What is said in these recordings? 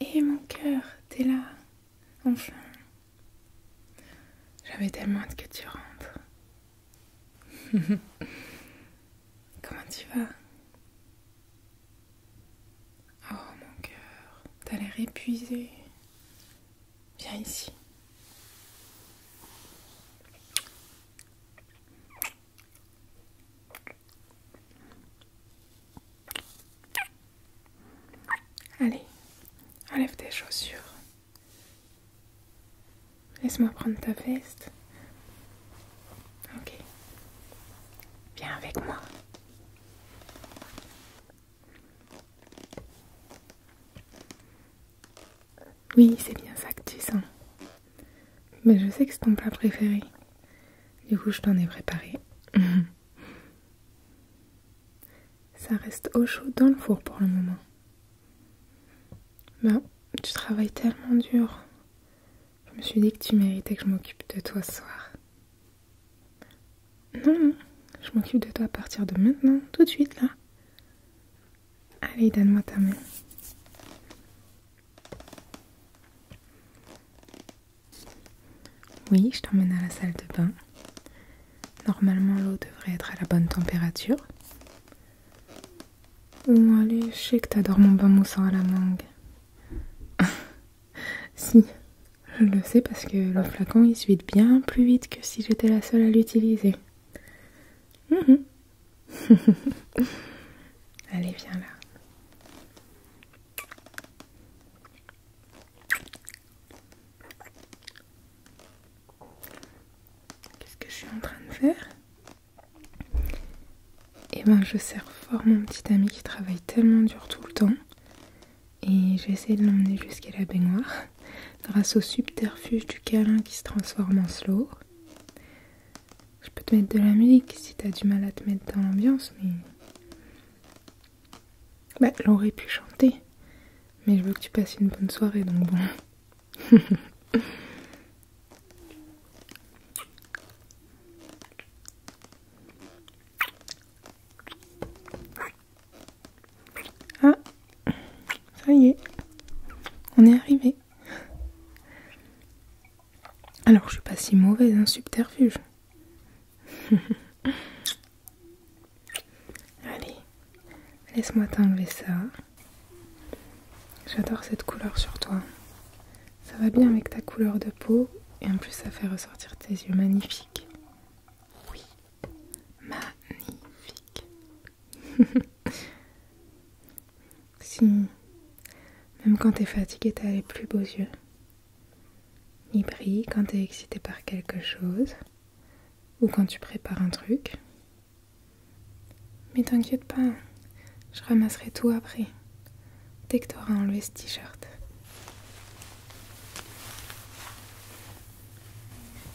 Et eh, mon cœur, t'es là, enfin. J'avais tellement hâte que tu rentres. Comment tu vas Oh mon cœur, t'as l'air épuisé. Viens ici. Allez, enlève tes chaussures. Laisse-moi prendre ta veste. Ok. Viens avec moi. Oui, c'est bien ça que tu sens. Mais je sais que c'est ton plat préféré. Du coup, je t'en ai préparé. ça reste au chaud dans le four pour le moment. Ben, tu travailles tellement dur. Je me suis dit que tu méritais que je m'occupe de toi ce soir. Non, non, je m'occupe de toi à partir de maintenant, tout de suite là. Allez, donne-moi ta main. Oui, je t'emmène à la salle de bain. Normalement, l'eau devrait être à la bonne température. Bon, allez, je sais que t'adores mon bain moussant à la mangue. si, je le sais parce que le flacon il se vide bien plus vite que si j'étais la seule à l'utiliser. Mhm. Allez, viens là. Qu'est-ce que je suis en train de faire Eh ben, je sers fort mon petit ami qui travaille tellement dur tout le temps et j'ai essayé de l'emmener jusqu'à la baignoire grâce au subterfuge du câlin qui se transforme en slow. Je peux te mettre de la musique si t'as du mal à te mettre dans l'ambiance, mais. Bah, aurait pu chanter. Mais je veux que tu passes une bonne soirée, donc bon. Ah, ça y est, on est arrivé. Alors, je suis pas si mauvaise, un hein, subterfuge. Allez, laisse-moi t'enlever ça. J'adore cette couleur sur toi. Ça va bien avec ta couleur de peau et en plus ça fait ressortir tes yeux magnifiques. Oui. Magnifique. si, même quand t'es fatigué, t'as les plus beaux yeux. ni brille quand t'es excité par quelque chose ou quand tu prépares un truc. Mais t'inquiète pas, je ramasserai tout après, dès que t'auras enlevé ce t-shirt.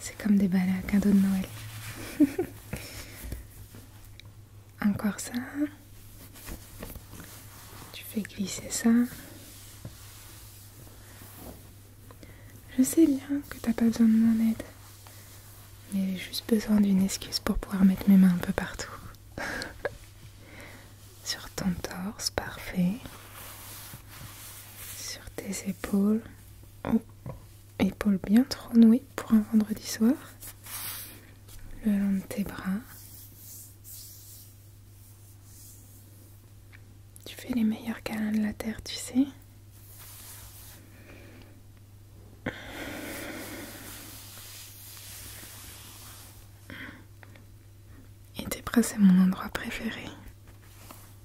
C'est comme des balles à cadeaux de Noël. Encore ça. Tu fais glisser ça. Je sais bien que t'as pas besoin de mon aide. Mais j'ai juste besoin d'une excuse pour pouvoir mettre mes mains un peu partout. Sur ton torse, parfait sur tes épaules. Oh, épaules bien trop nouées pour un vendredi soir. Le long de tes bras. Tu fais les meilleurs câlins de la terre, tu sais. Et tes bras, c'est mon endroit préféré.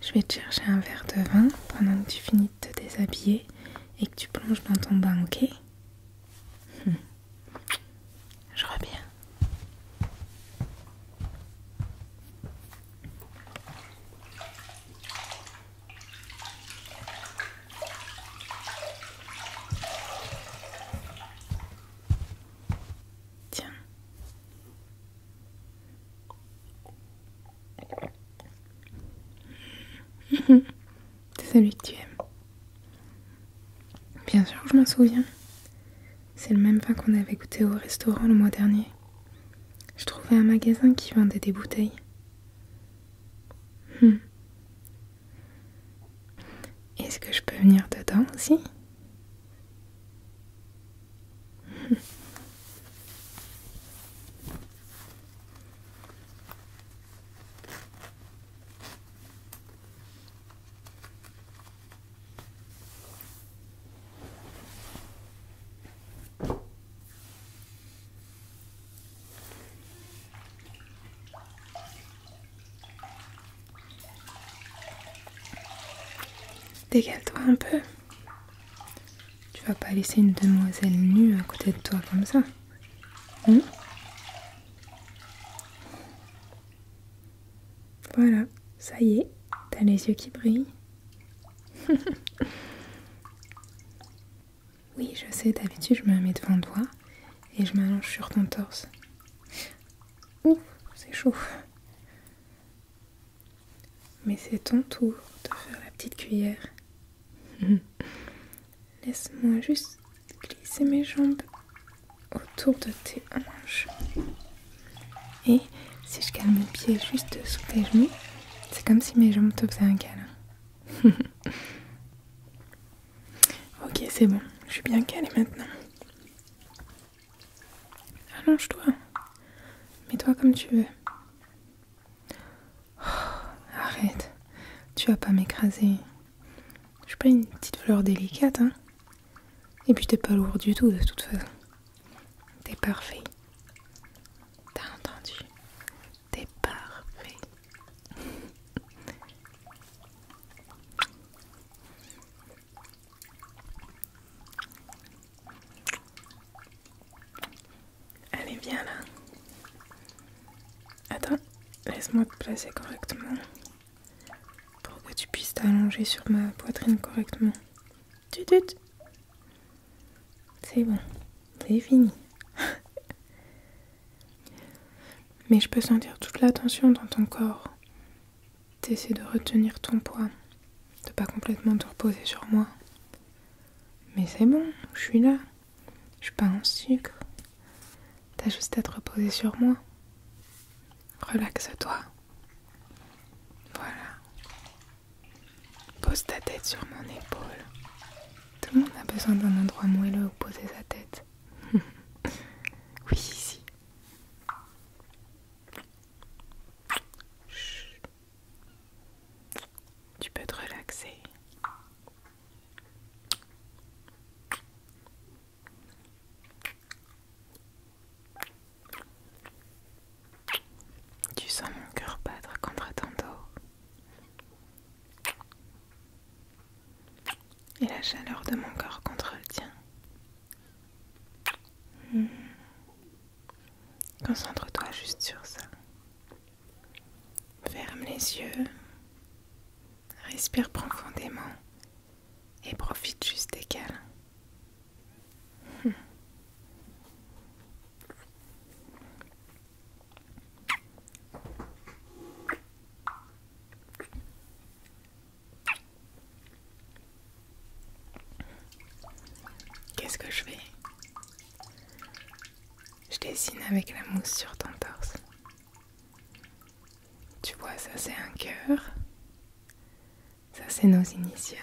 Je vais te chercher un verre de vin pendant que tu finis de te déshabiller et que tu plonges dans ton bain, ok hmm. Je reviens. Tiens. C'est celui que tu aimes. Bien sûr je m'en souviens. C'est le même vin qu'on avait goûté au restaurant le mois dernier. Je trouvais un magasin qui vendait des bouteilles. Hmm. Est-ce que je peux venir dedans aussi Dégale-toi un peu. Tu vas pas laisser une demoiselle nue à côté de toi comme ça. Hein voilà, ça y est, t'as les yeux qui brillent. oui, je sais, d'habitude je me mets devant toi et je m'allonge sur ton torse. Ouf, c'est chaud. Mais c'est ton tour de faire la petite cuillère. Laisse-moi juste glisser mes jambes autour de tes hanches. Et si je garde mes pieds juste sous tes genoux, c'est comme si mes jambes te faisaient un câlin. ok, c'est bon, je suis bien calée maintenant. Allonge-toi. Mets-toi comme tu veux. Oh, arrête. Tu vas pas m'écraser. Je suis pas une petite fleur délicate, hein. Et puis t'es pas lourd du tout, de toute façon. T'es parfait. T'as entendu T'es parfait. Allez, bien là. Attends, laisse-moi te placer correctement pour que tu puisses t'allonger sur ma poitrine correctement. Tutut. C'est bon, c'est fini. Mais je peux sentir toute la tension dans ton corps. T'essaies de retenir ton poids, de pas complètement te reposer sur moi. Mais c'est bon, je suis là. Je suis pas en sucre. T'as juste à te reposer sur moi. Relaxe-toi. Voilà. Pose ta tête sur mon épaule. Tout le monde a besoin d'un endroit moelleux où poser sa tête. oui, ici. Tu peux te relaxer. Tu sens mon cœur battre contre ton dos et la chaleur de mon corps contre le tien. Hmm. Concentre-toi juste sur ça. Ferme les yeux. Respire profondément et profite juste des câlins. Qu'est-ce que je fais Je dessine avec la mousse sur ton torse. Tu vois, ça c'est un cœur. Ça c'est nos initiales.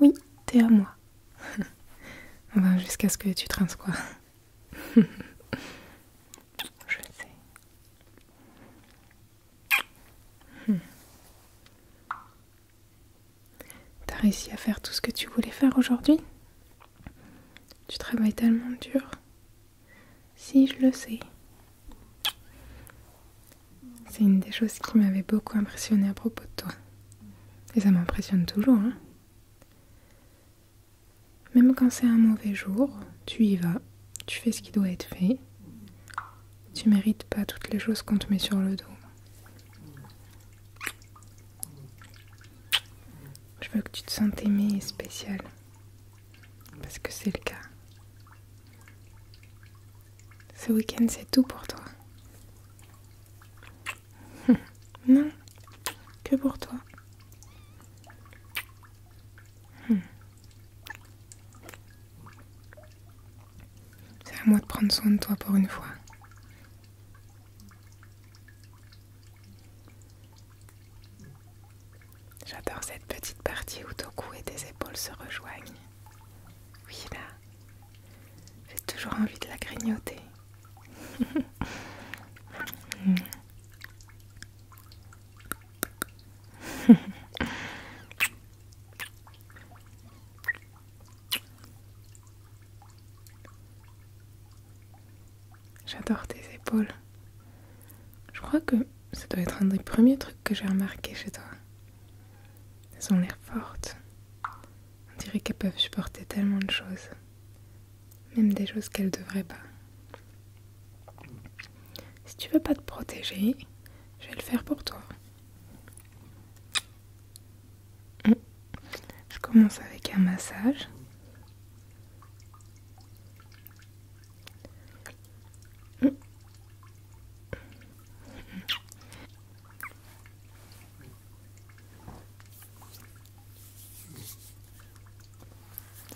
Oui, t'es à moi. enfin, jusqu'à ce que tu quoi. je sais. Hmm. T'as réussi à faire tout ce que tu voulais faire aujourd'hui Tu travailles tellement dur. Si, je le sais. C'est une des choses qui m'avait beaucoup impressionnée à propos de toi. Et ça m'impressionne toujours, hein. Même quand c'est un mauvais jour, tu y vas tu fais ce qui doit être fait. Tu mérites pas toutes les choses qu'on te met sur le dos. Je veux que tu te sentes aimé et spéciale, Parce que c'est le cas. Ce week-end, c'est tout pour toi. non, que pour toi. Hmm. C'est à moi de prendre soin de toi pour une fois. J'adore cette petite partie où ton cou et tes épaules se rejoignent. Oui, là. J'ai toujours envie de la grignoter. Hmm. J'adore tes épaules. Je crois que ça doit être un des premiers trucs que j'ai remarqué chez toi. Elles ont l'air fortes. On dirait qu'elles peuvent supporter tellement de choses. Même des choses qu'elles devraient pas. Si tu veux pas te protéger, je vais le faire pour toi. Hum. Je commence avec un massage. Hum.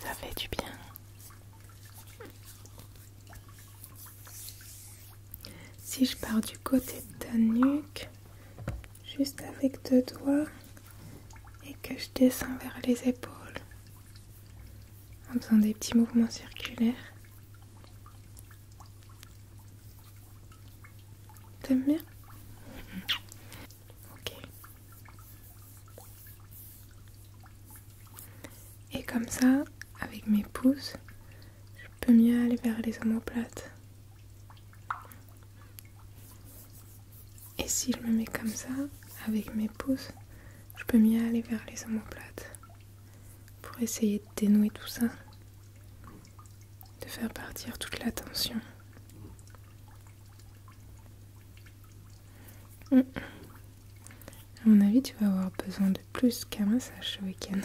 Ça fait du bien. Si je pars du côté de ta nuque, juste avec deux doigts, et que je descends vers les épaules, en faisant des petits mouvements circulaires. T'aimes bien Ok. Et comme ça, avec mes pouces, je peux mieux aller vers les omoplates. Et si je me mets comme ça, avec mes pouces, je peux mieux aller vers les omoplates. Pour essayer de dénouer tout ça. De faire partir toute la tension. Mm. À mon avis, tu vas avoir besoin de plus qu'un massage ce week-end.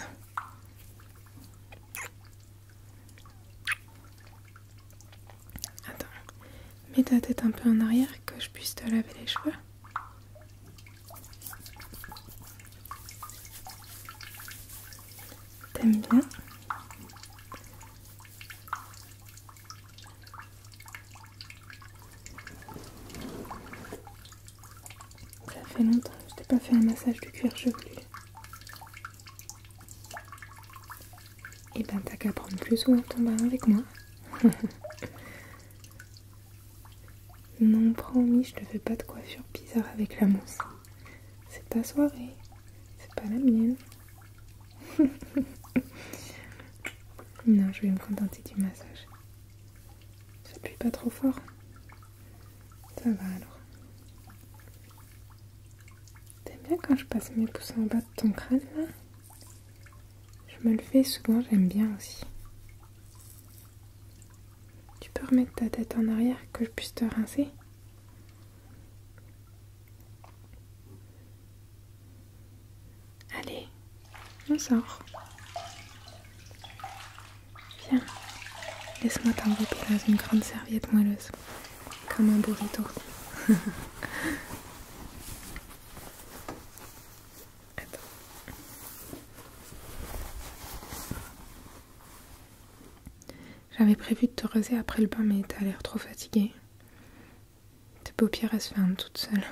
Attends, mets ta tête un peu en arrière que je puisse te laver les cheveux. T'aimes bien ça fait longtemps que je t'ai pas fait un massage du cuir chevelu. Et eh ben t'as qu'à prendre plus souvent ton bain avec moi. non, promis, je te fais pas de coiffure bizarre avec la mousse. C'est ta soirée, c'est pas la mienne. non, je vais me contenter du massage. Ça pue pas trop fort. Ça va alors. T'aimes bien quand je passe mes pouces en bas de ton crâne là Je me le fais souvent, j'aime bien aussi. Tu peux remettre ta tête en arrière que je puisse te rincer Allez, on sort. Viens, laisse-moi t'envoyer une grande serviette moelleuse, comme un burrito. J'avais prévu de te raser après le bain, mais t'as l'air trop fatiguée. Tes paupières elles se ferment toutes seules.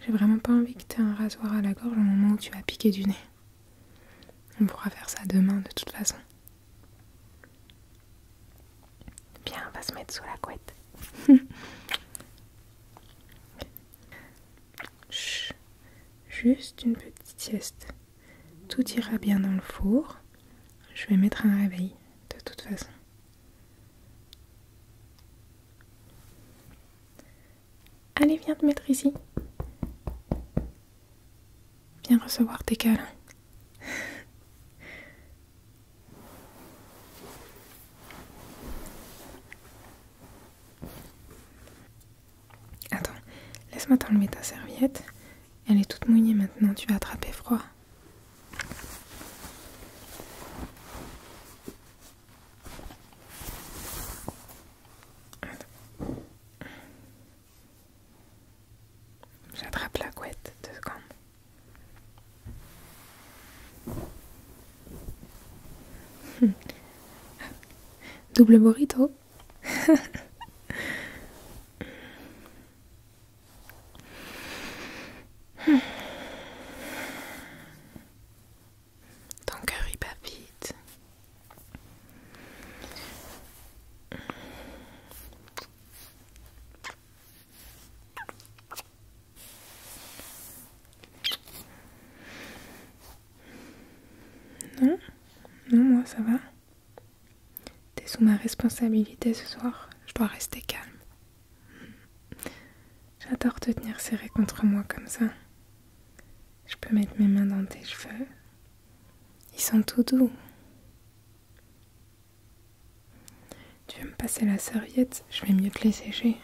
J'ai vraiment pas envie que tu aies un rasoir à la gorge au moment où tu vas piquer du nez. On pourra faire ça demain de toute façon. Bien, on va se mettre sous la couette. Chut, juste une petite sieste. Tout ira bien dans le four. Je vais mettre un réveil, de toute façon. Allez, viens te mettre ici. Viens recevoir tes câlins. Attends, laisse-moi t'enlever ta serviette. Elle est toute mouillée maintenant, tu vas attraper froid. J'attrape la couette, deux secondes. Double burrito. Ton cœur y bat vite. Non, non, moi ça va. T'es sous ma responsabilité ce soir. Je dois rester calme. J'adore te tenir serré contre moi comme ça. Je peux mettre mes mains dans tes cheveux. Ils sont tout doux. Tu veux me passer la serviette Je vais mieux te les sécher.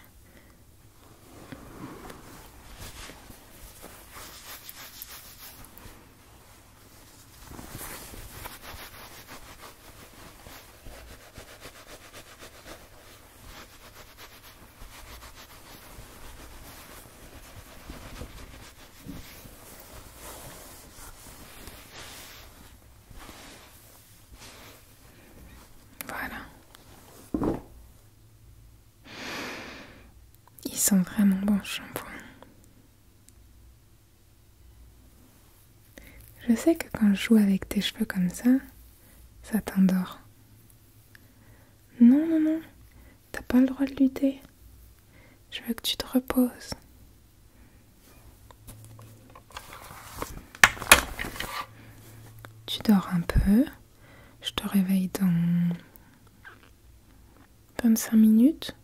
Voilà. Ils sont vraiment bons shampoings. Je sais que quand je joue avec tes cheveux comme ça, ça t'endort. Non, non, non, t'as pas le droit de lutter. Je veux que tu te reposes. Tu dors un peu. Je te réveille dans 25 minutes.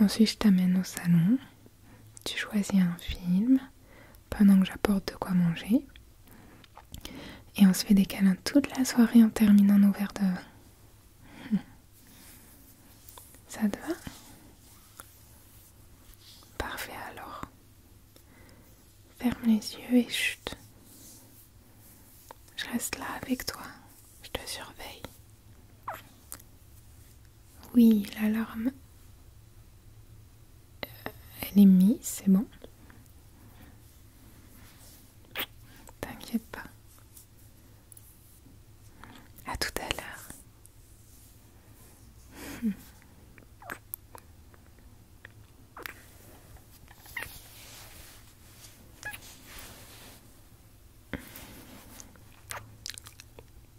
Ensuite, je t'amène au salon. Tu choisis un film pendant que j'apporte de quoi manger. Et on se fait des câlins toute la soirée en terminant nos verres de vin. Ça te va Parfait alors. Ferme les yeux et chut. Je reste là avec toi. Je te surveille. Oui, l'alarme. Euh, elle est mise, c'est bon. T'inquiète pas. À tout à l'heure.